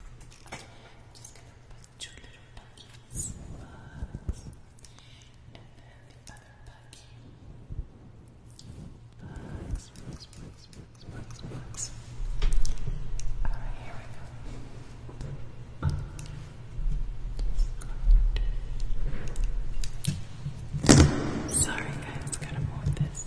just gonna put two little puggies, Sorry guys, gotta move this.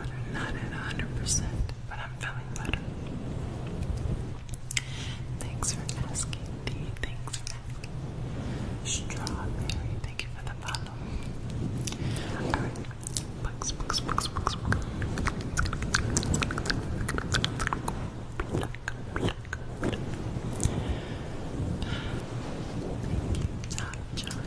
I'm not at 100%, but I'm feeling better. Thanks for asking, D. Thanks for asking. Strawberry, thank you for the follow. Alright, books, books, books, books, books. Black, black, black. Thank you, John. John.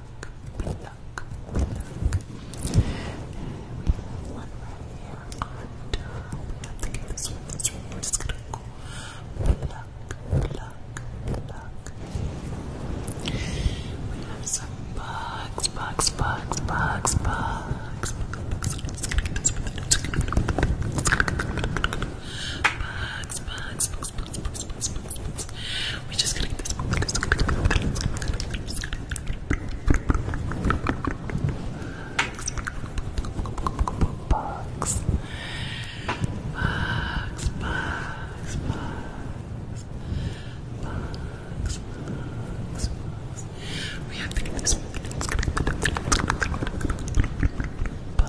luck, good luck, good luck. And we have one right here on top. We have to get this one, this one. We're just gonna go good luck, good luck, good luck. We have some bugs, bugs, bugs, bugs, bugs. Bugs, bugs, bugs, bugs, spritz, spritz, spritz, spritz, spritz. We're just gonna get this. Box. Box, box, box. Box, box, box. We have to get this box. box. box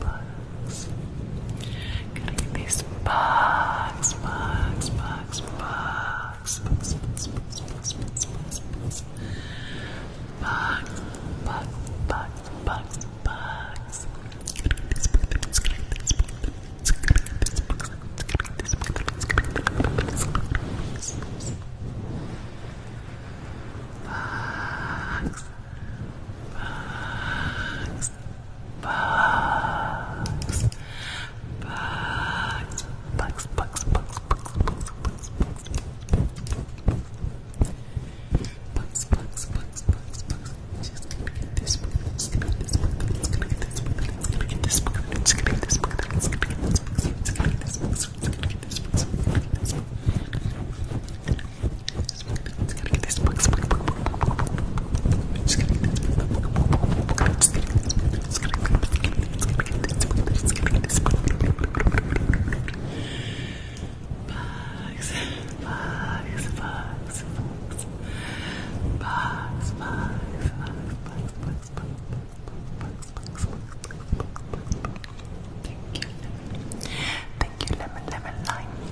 bugs. Gotta get these bugs, bugs, bugs, bugs, bugs, bugs, bugs, bugs, bugs, bugs, bugs, bugs, bugs, bugs, bugs, bugs. Gotta get these bugs, gotta get these bugs, gotta get these bugs, gotta get these bugs, gotta get these bugs, bugs. Bugs. Bugs, bugs, bugs, bugs, bugs, bugs, bugs, bugs, bugs, bugs, bugs, bugs, bugs, bugs, bugs. She's gonna get this book. She's gonna get this book. She's gonna get this book. She's gonna get this book. She's gonna get this book. She's gonna get this book. She's gonna get this book. She's gonna get this book. She's gonna get this book. She's gonna get this book. Just gotta get this book. Just gotta get this book. Just gotta get this book. Just gotta get this book. Just gotta get this book. Just gotta get this book. Bugs, bugs, bugs, bugs, bugs, bugs, bugs, bugs, bugs. Thank you. Thank you, lemon, lemon, lime.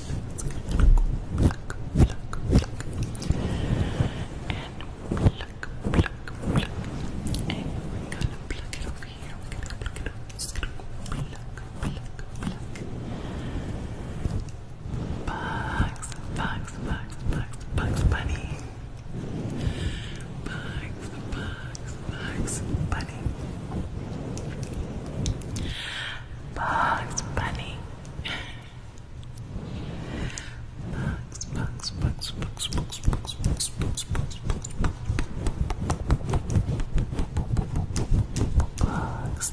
Pluck, pluck, pluck. And pluck, pluck, pluck. And we're gonna pluck it over here. We're gonna pluck it over. Just gonna pluck, pluck, pluck. Bugs, bugs, bugs, bugs, bugs, bunny. Bugs, bugs, bugs, bunny. Bugs Bunny. Bugs, bugs, bugs, bugs, bugs, bugs, bugs, bugs, bugs, bugs, bugs, bugs, bugs, bugs, bugs, bugs,